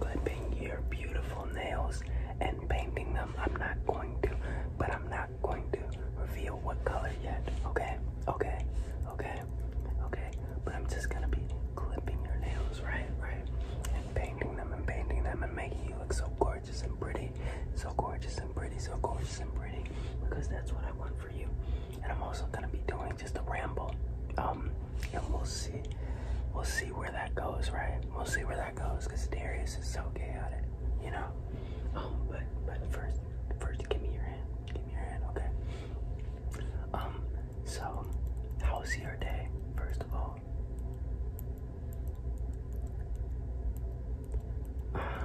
clipping your beautiful nails and painting them. I'm not going to, but I'm not going to reveal what color yet. Okay, okay, okay, okay. But I'm just gonna be clipping your nails, right, right, and painting them and painting them and making you look so gorgeous and pretty, so gorgeous and pretty, so gorgeous and pretty, because that's what I want for you. And I'm also gonna be doing just a ramble. Um, and we'll see, we'll see where that goes, right? We'll see where that that goes because Darius is so chaotic, you know. Um, but but first, first give me your hand. Give me your hand, okay? Um, so how was your day? First of all. Uh,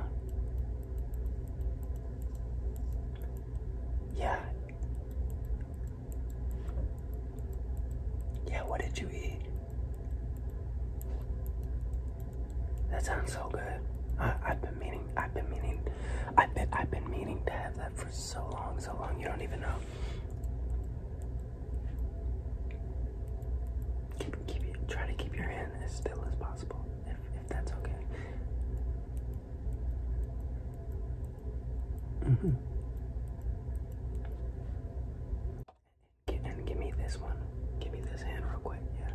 yeah. Yeah, what did you eat? That sounds so good. I, have been meaning, I've been meaning, I've been, I've been meaning to have that for so long, so long. You don't even know. Keep, keep, try to keep your hand as still as possible, if, that's okay. Mm -hmm. And, give me this one. Give me this hand real quick. Yeah.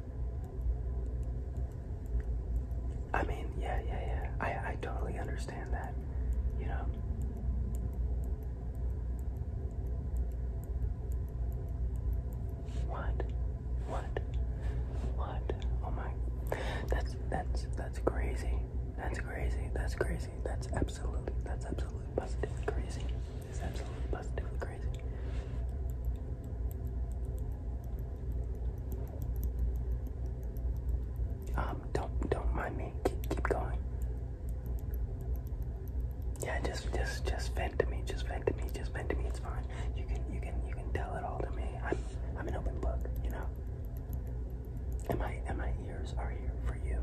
I mean, yeah, yeah, yeah. I I totally understand that. You know. What? What? What? Oh my. That's that's that's crazy. That's crazy. That's crazy. That's absolutely, that's absolutely positively crazy. It's absolutely positively crazy. Um, don't don't mind me. Keep keep going. Yeah, just just just vent to me. Just vent to me. Just vent to me. It's fine. You can you can you can tell it all to me. I'm I'm an open book. You know. And my and my ears are here for you.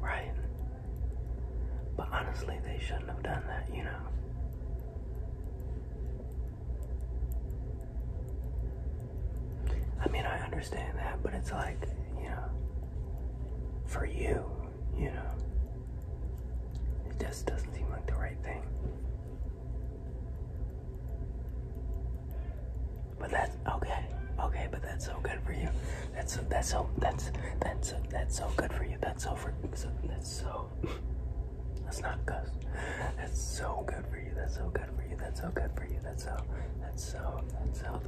Right. But honestly, they shouldn't have done that, you know. I mean, I understand that, but it's like, you know, for you, you know, it just doesn't seem like the right thing. But that's okay, okay. But that's so good for you. That's so that's so that's that's so, that's so good for you. That's so for so, that's so. That's not cuss. That's so good for you. That's so good for you. That's so good for you. That's so. That's so. That's so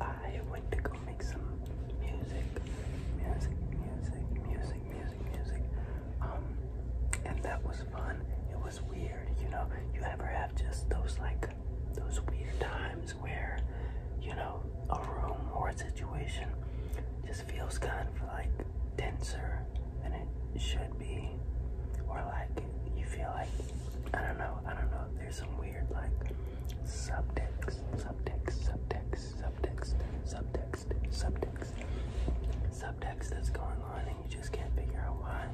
I, went to go make some music, music, music, music, music, music. Um, and that was fun. It was weird, you know. You ever have just those like those weird times where you know a room or a situation just feels kind of like denser than it should be, or like you feel like I don't know somehow. I don't know. There's some weird like subtext, subtext, subtext, subtext, subtext, subtext, subtext that's going on, and you just can't figure out why.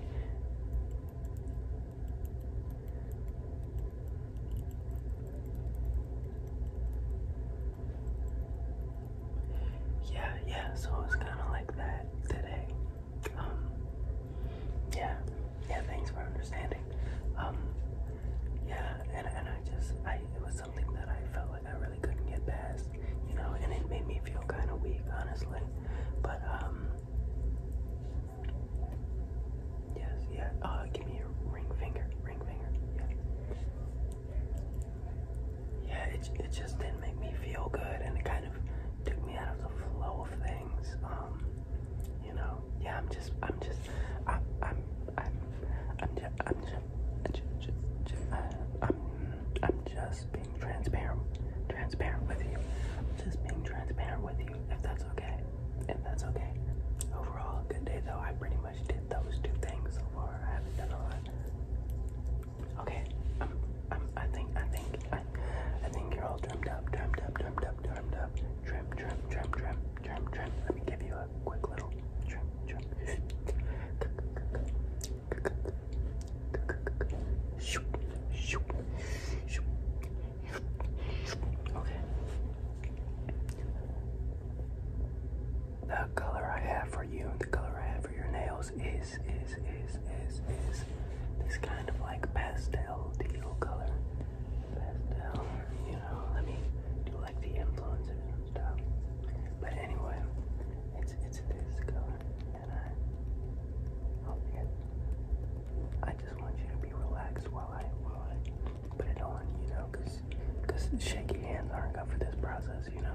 Yeah, yeah, so it was kind of like that today. Um, yeah, yeah, thanks for understanding. Um, yeah, and, and I just, I, it was something that I felt like I really couldn't get past, you know, and it made me feel kind of weak, honestly. But, um, yes, yeah, uh, give me your ring finger, ring finger, yeah. Yeah, it, it just didn't make me feel good, and it kind of took me out of the flow of things. Um, you know, yeah, I'm just, I'm just, I, I'm, I'm, I'm, just, i am i am i am just i am just, just, just uh, I'm, I'm just being transparent, transparent with you. just being transparent with you, if that's okay, if that's okay. Overall, good day though. I pretty much did those two things so far. I haven't done a lot. Okay, um, I think, I think, I, I think you're all trimmed up, trimmed up, trimmed up, trimmed up. Trim, trim, trim, trim, trim, trim. Let me give you a quick little trim, trim. Okay. The color I have for you and the color I have for your nails is is is is is is this kind of like pastel teal color. Pastel, you know, let me do like the influencers and stuff. But anyway, it's it's this color and I hope you I just want you to be relaxed while I while I put it on, you know, cause cause shaky hands aren't good for this process, you know.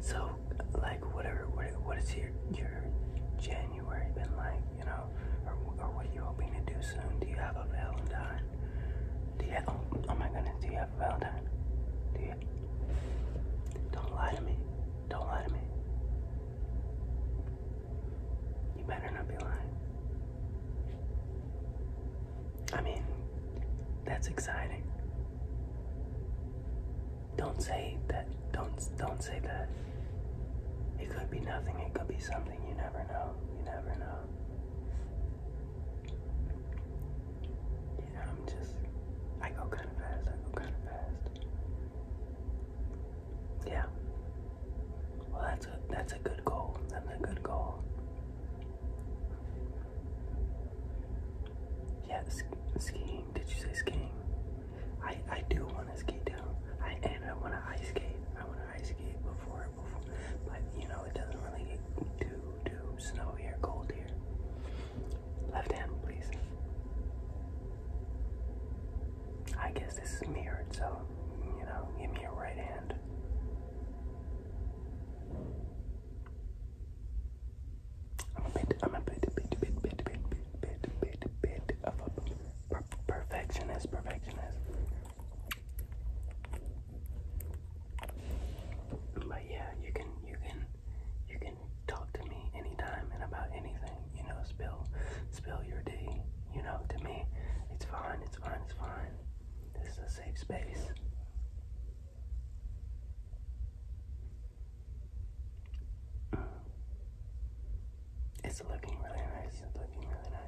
So, like, whatever, what, what is your your January been like? You know, or, or what are you hoping to do soon? Do you have a Valentine? Do you? oh, oh my goodness, do you have a Valentine? Do you? Don't lie to me. Don't lie to me. You better not be lying. I mean, that's exciting. Don't say that. Don't don't say that. It could be nothing. It could be something. You never know. You never know. Yeah, I'm just. I go kind of fast. I go kind of fast. Yeah. Well, that's a that's a good goal. That's a good goal. Yeah, skiing. Did you say skiing? I I do want to ski too. I and I want to ice skate. I want to ice skate before before, but you know it doesn't really get too too snowy or cold here. Left hand, please. I guess this is mirrored, so you know, give me your right hand. I'm a bit, I'm a bit, bit, bit, bit, bit, bit, bit, bit of a perfectionist, perfectionist. But yeah, you can, you can, you can talk to me anytime and about anything. You know, spill, spill your tea. You know, to me, it's fine, it's fine, it's fine. This is a safe space. It's looking really nice. It's looking really nice.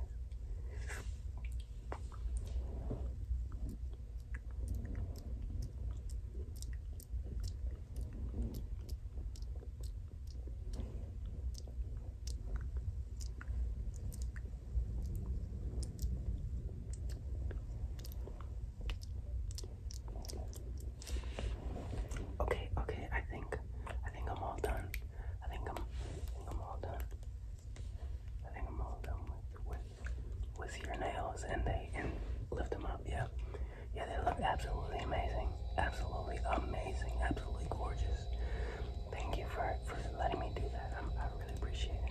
Okay, okay, I think I think I'm all done. I think I'm I am all done. I think I'm all done with with with your nails and they and lift them up, yeah. Yeah, they look absolutely amazing. Absolutely amazing. Absolutely gorgeous. Thank you for for letting me do that. I really appreciate it